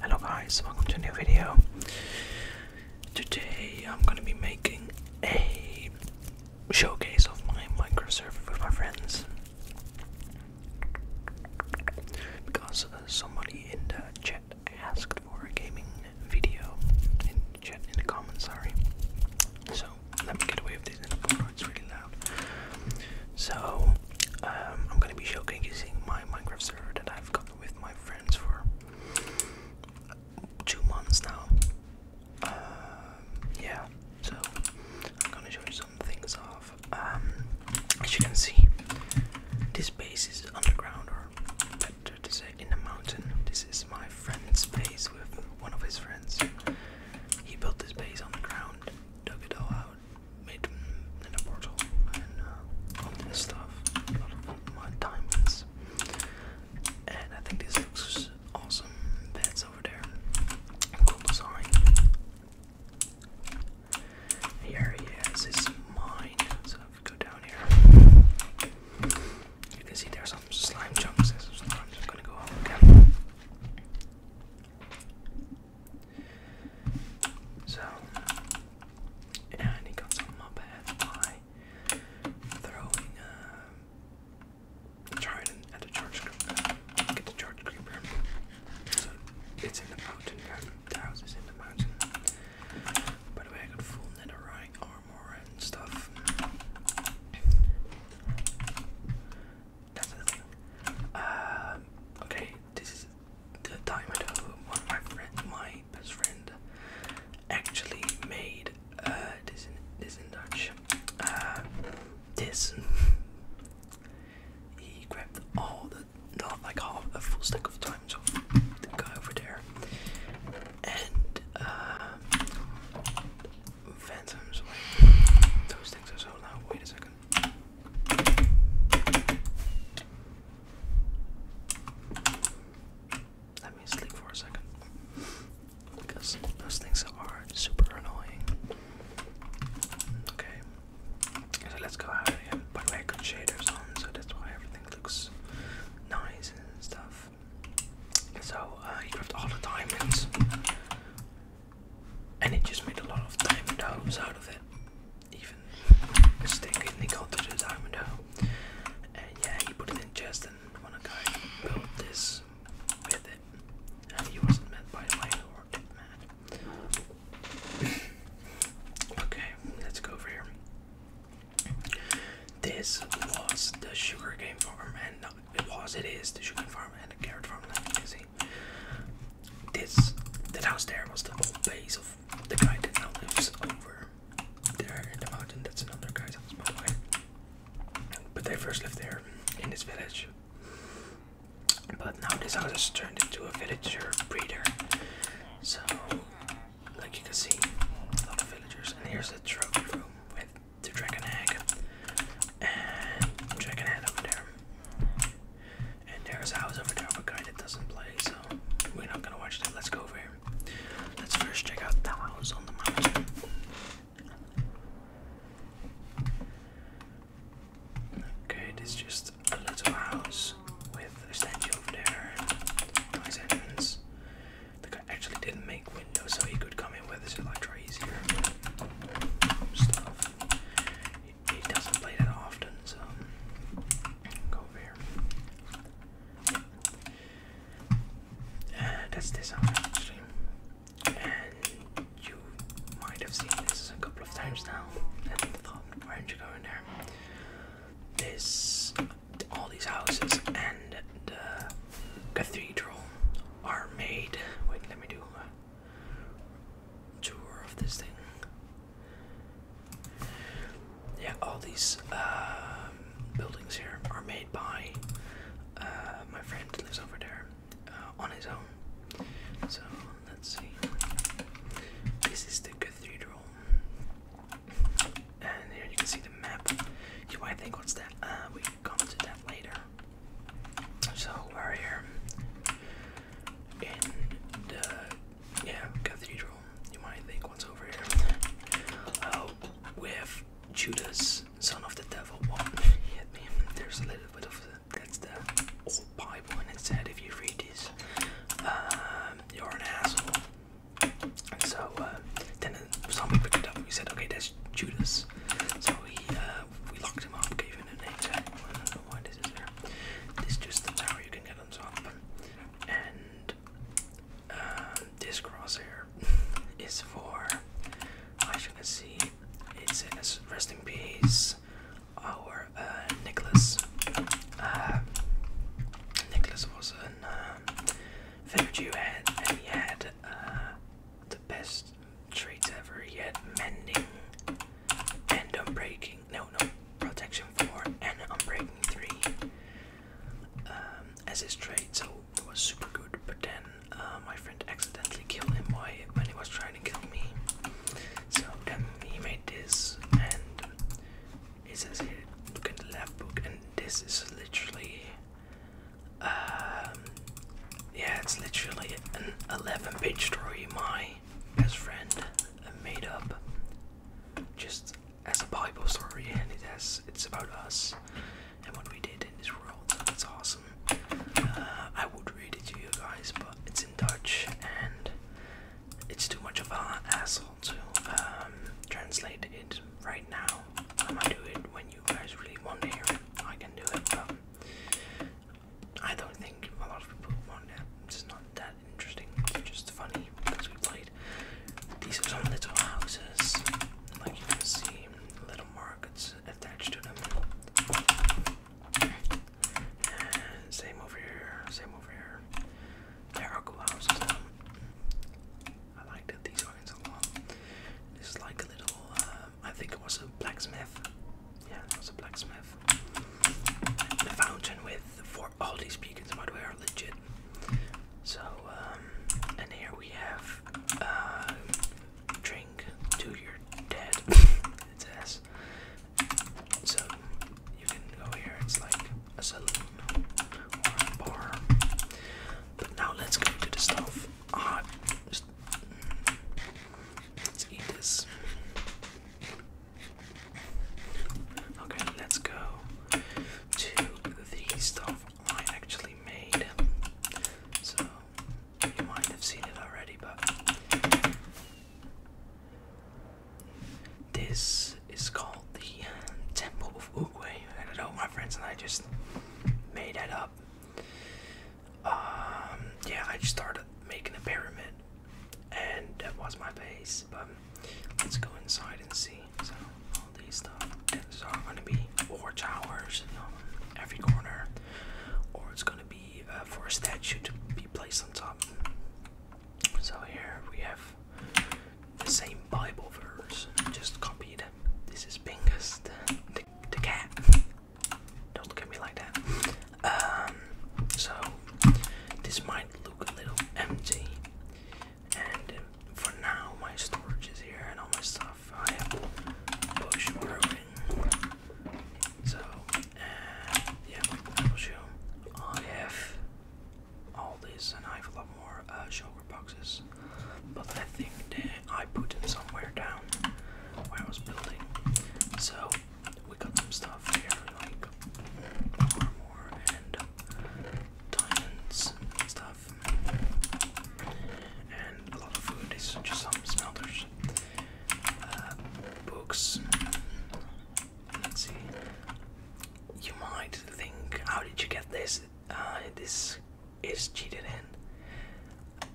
Hello guys, welcome to a new video. Today I'm going to be making a showcase of my microserver with my friends. Because uh, somebody in the chat asked for a gaming video in the chat in the comments, sorry. So let me get away with this it's really loud. So, um, I'm gonna be showcasing my Minecraft server that I've gotten with my friends for two months now. Um, yeah, so I'm gonna show you some things off. Um, as you can see, this base is underground, or better to say, in a mountain. This is my friend's base with one of his friends. He built his base on the ground, dug it all out, made an portal, and uh, all this stuff. A lot of And I think this looks awesome. That's over there. Cool design. Here he has his mine. So if we go down here. You can see there's some slime chunks. I'm just gonna go again. So, and he got some up ahead by throwing a uh, trident at the church creeper. Get the church creeper. So it's in the mountain. The house is in the mountain. By the way, I got full netherite armor and stuff. That's um, okay, this is the time one of my friend, my best friend, actually made uh, this in this in Dutch. Uh, this he grabbed all the like half a full stack of times the guy over there, and uh, phantoms. Wait, those things are so loud. Wait a second. Let me sleep for a second. Because those things are super annoying. Okay. So let's go out of here. I got shaders on, so that's why everything looks nice and stuff. So uh, he grabbed all the diamonds, and it just made a lot of diamond homes out of it. Even mistakenly the gold to the diamond home. And yeah, he put it in chest, and when a guy built this with it, and he wasn't met by a landlord, mad. okay, let's go over here. This was the sugar cane farm, and it was, it is, the sugar farm and the carrot farm, like you see. This, the house there was the old base of the guy that now lives over there in the mountain. That's another guy's house, by the way. But they first lived there in this village. But now this house has turned into a villager breeder. So, like you can see, a lot of villagers. And here's the trophy room with to Dragonag. And Dragonhead over there. And there's a house over there of a guy that doesn't play, so we're not gonna watch that. Let's go over here. Let's first check out the house on the mountain. Okay, this just a little house with a statue over there. Nice entrance. The guy actually didn't make windows, so he could come in with his Electra easier stuff. He, doesn't play that often, so go over here. Uh, that's this one actually, and you might have seen this a couple of times now. And thought, why aren't you going there? This um, all these houses and the cathedral are made. Wait, let me do tour of this thing. Yeah, all these um, buildings here are made by uh, my friend who lives over there uh, on his own. So let's see. This is the cathedral. And here you can see the map. You might think, what's that? Uh, we can come to that later. So we're here in the yeah cathedral. You might think, what's over here? Oh, we Judas, son of the devil. What? Well, There's a little bit of the, that's the old Bible, and it said if you read this, um, you're an asshole. So uh, then someone picked it up we said, okay, that's Judas. So we uh, we locked him up, gave him a name tag. I this is This just the tower you can get on top. And uh, this crosshair is for, I should see, it says rest in peace, our Nicholas. Nicholas was an. Virgil had, he had uh, the best traits ever. He had mending and unbreaking. No, protection four and unbreaking three um, as his trait. So it was super good. But then uh, my friend accidentally killed him when he was trying to kill me. So then um, he made this and it says here look at the left book and this is literally um yeah it's literally an 11 page story my best friend made up just as a bible story and it has it's about us and what we did in this world That's awesome uh, i would read it to you guys but it's in dutch and it's too much of an asshole to um, translate it right now. I might do it when you guys really want to hear it. I can do it, but I don't think a lot of people want that. It's not that interesting. just funny because we played. These are some little houses, like you can see, little markets attached to them. same over here, same over here. There are cool houses. I like that these onions a lot. This is like a little, um, I think it was a blacksmith. Yeah, it was a blacksmith. the fountain with for all these beacons, by the are legit. So, um, and here we have uh, drink to your dead. it says. So you can go here. It's like a saloon or a bar. But now let's go to the stuff. Ah, just, let's eat this. Okay, let's go to the stuff I actually made. So you might have seen it already, but this is called the uh, Temple of Oogway. I don't know, my friends and I just made that up. Um, yeah, I just started making a pyramid, and that was my base. But let's go inside and see. So all these stuff. There's all gonna be four towers on every corner, or it's gonna be uh, for statue to be placed on top. So here we have same Bible verse, just copied. This is Bingus the, the, cat. Don't look at me like that. Um, so, this might look a little empty. And um, for now, my storage is here and all my stuff. I have bush growing. So, uh, yeah, I will show. I have all this and I have a lot more uh, sugar boxes. But I think that I put them somewhere down where I was building. So we got some stuff here like armor and diamonds and stuff. And a lot of food is just some smelters. Uh, books. Let's see you might think, how did you get this? Uh, this is cheated in.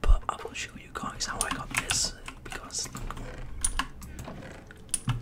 But I will show you guys how I got this because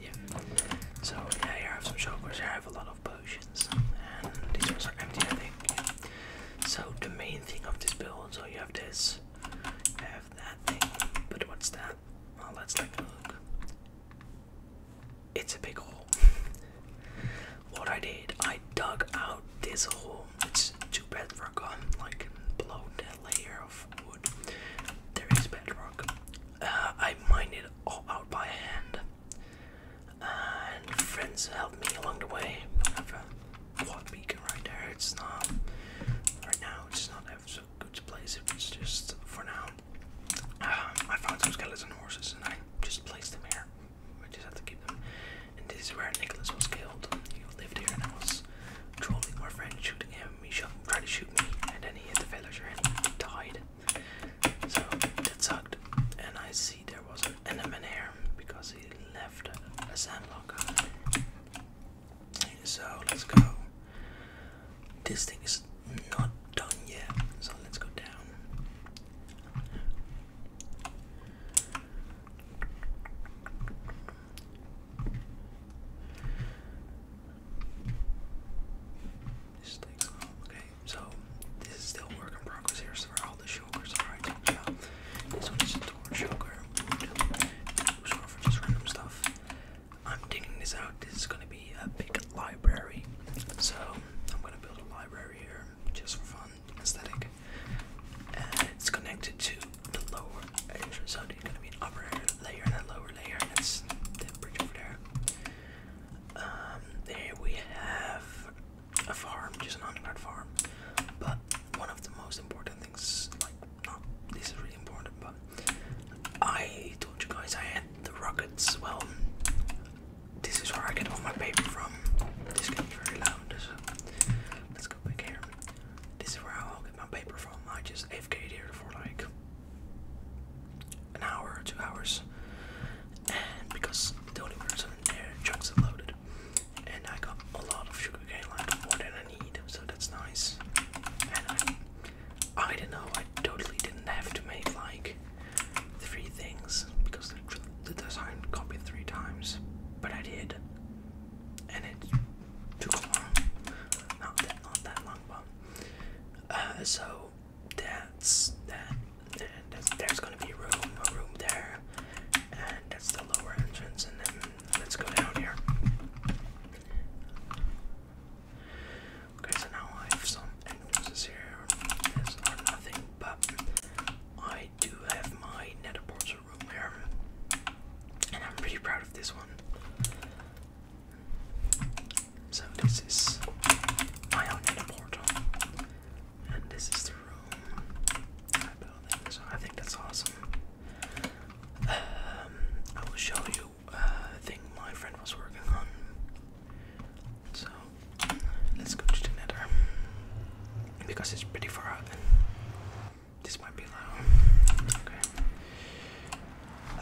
yeah. So yeah, here I have some chocolates. Here I have a lot of potions, and these ones are empty, I think. So the main thing of this build, so you have this, you have that thing. But what's that? Well, let's take a look. It's a big hole. what I did, I dug out this hole. It's too bedrock on like below that layer of wood. There is bedrock. Uh, I mined it all out by hand. And friends helped me along the way. have a quad beacon right there. It's not right now. It's not have some good place if it's just for now. Um, I found some skeletons and horses and I just placed them here. I just have to keep them. And this is where Nicholas was killed. He lived here and I was trolling my friend, shooting him. He shot, tried to shoot me, and then he hit the villager and died. So that sucked. And I see there was an enemy here because he left a, sand block. So let's go. This thing is not done yet, so let's go down. This thing's Okay, so this is still work in progress here. So all the shulkers are right to the This one is a torn shulker. It was for just random stuff. I'm digging this out. This is gonna be a big library, so I'm gonna build a library here just for fun, aesthetic. And it's connected to the lower entrance. so there's gonna be an upper layer and a lower layer, and that's the bridge over there. Um, there we have a farm, just an underground farm, but one of the most important things, like not this is really important, but I told you guys I had the rockets. Well, this is where I get all my paper from. This can be very loud, let's go back here. This is where I'll get my paper from. I just AFK'd here for like an hour, two hours, and because the only person there trucks are and I got a lot of sugarcane, like more than I need, so that's nice. And I I don't know, I totally didn't have to make like three things because the, design copied three times, but I did, and it took long, not that, not that long, but uh, so that's that, there's gonna be a room, a room there, and that's the lower entrance, and then let's go down here. Okay, so now I have some entrances here. These are nothing, but I do have my nether portal room here. And I'm pretty proud of this one. So this is my own portal. And this is the room I So I think that's awesome. Um, I will show you uh, thing my friend was working on. So let's go to the nether because it's pretty far this might be loud. Okay.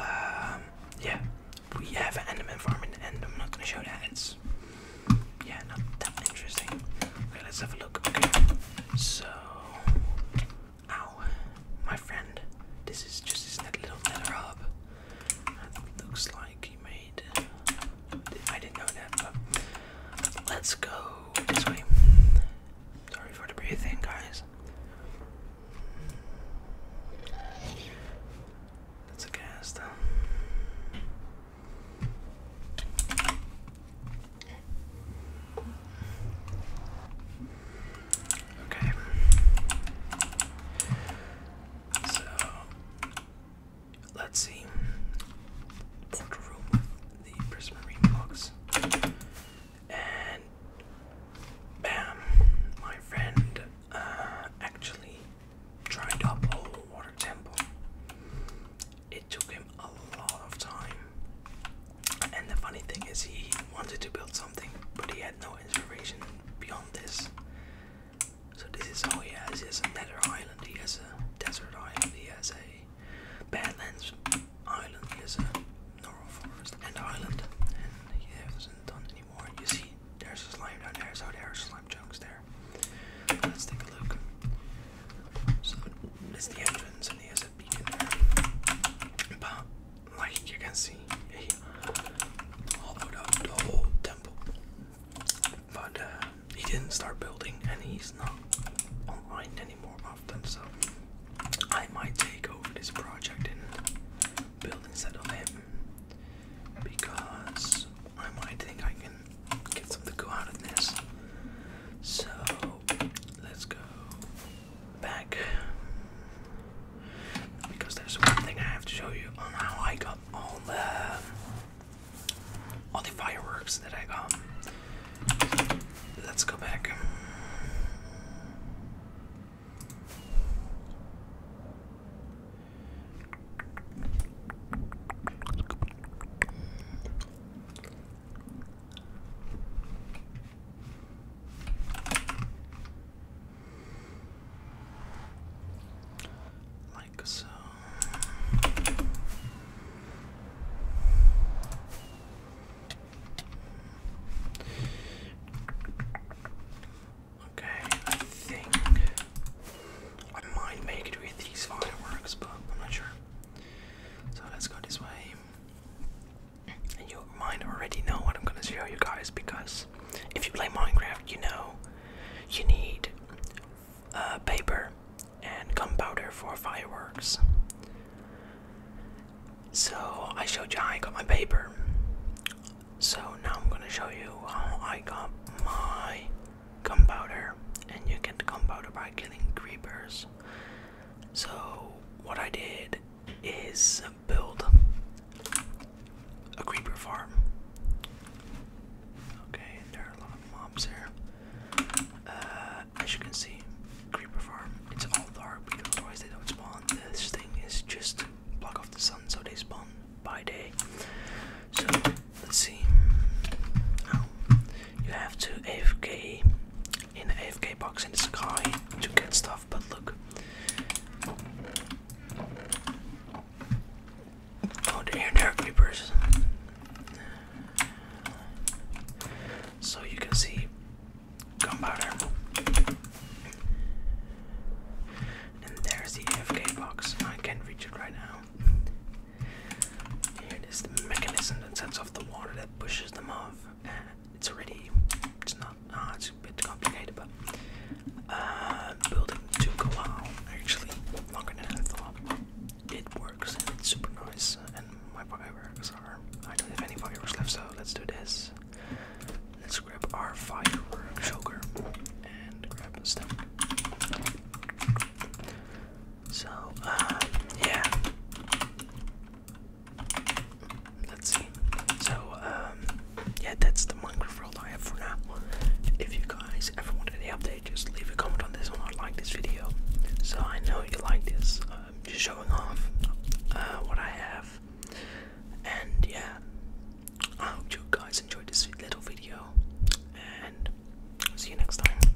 Um. Yeah, we have an enderman farm, and I'm not gonna show that. It's yeah, not that interesting. Okay, let's have a look. Okay. So Ow, my friend, this is just this little leather hub. looks like you made. I didn't know that, let's go this way. Sorry for the breathing, guys. That's a cast. Okay. So let's see. Portal the prismarine blocks. And bam, my friend uh, actually tried up a water temple. It took him a lot of time and the funny thing is, he wanted to build something, but he had no inspiration beyond this. So this is all he has. He has a island, he has a desert island, he has a badlands island, he has a normal forest and island, and he hasn't done any more. You see, there's a slime down there, so there are slime chunks there. Let's take a look. So, it's the entrance, and he has a beacon there. But like you can see, he hollowed out the whole temple. But uh, he didn't start building, and he's not online anymore often. So I might take over this project and build instead of him because I might think I can get something cool out of this. So let's go back because there's one thing I have to show you on how I got all the all the fireworks that I got. Let's go back. Like so. Okay, I think I might make it with these fireworks, but I'm not sure. So let's go this way you might already know what I'm gonna show you guys because if you play Minecraft, you know you need uh, paper and gunpowder for fireworks. So I showed you how I got my paper. So now I'm gonna show you how I got my gunpowder, and you get gunpowder by killing creepers. So, what I did is build a creeper farm. Okay, there are a lot of mobs here. Uh, as you can see, creeper farm, it's all dark because otherwise they don't spawn. This thing is just block off the sun so they spawn by day. So, let's see. Now, you have to F K in the AFK box in the sky to get stuff, but look. Oh, the air there So you can see gunpowder. And there's the AFK box. I can't reach it right now. Here is the mechanism that sends off the water that pushes them off it's already it's not uh, it's a bit complicated but uh, building took a while actually longer than I thought it works and it's super nice uh, and my fireworks are I don't have any fireworks left so let's do this let's grab our firework sugar and grab the stem so, uh, yeah. Let's see. So, um, yeah, that's the Minecraft I have for now. If you guys ever want any update, just leave a comment on this one. I like this video. So, I know you like this. Um, just showing off uh, what I have. And, yeah. I hope you guys enjoyed this little video. And, see you next time.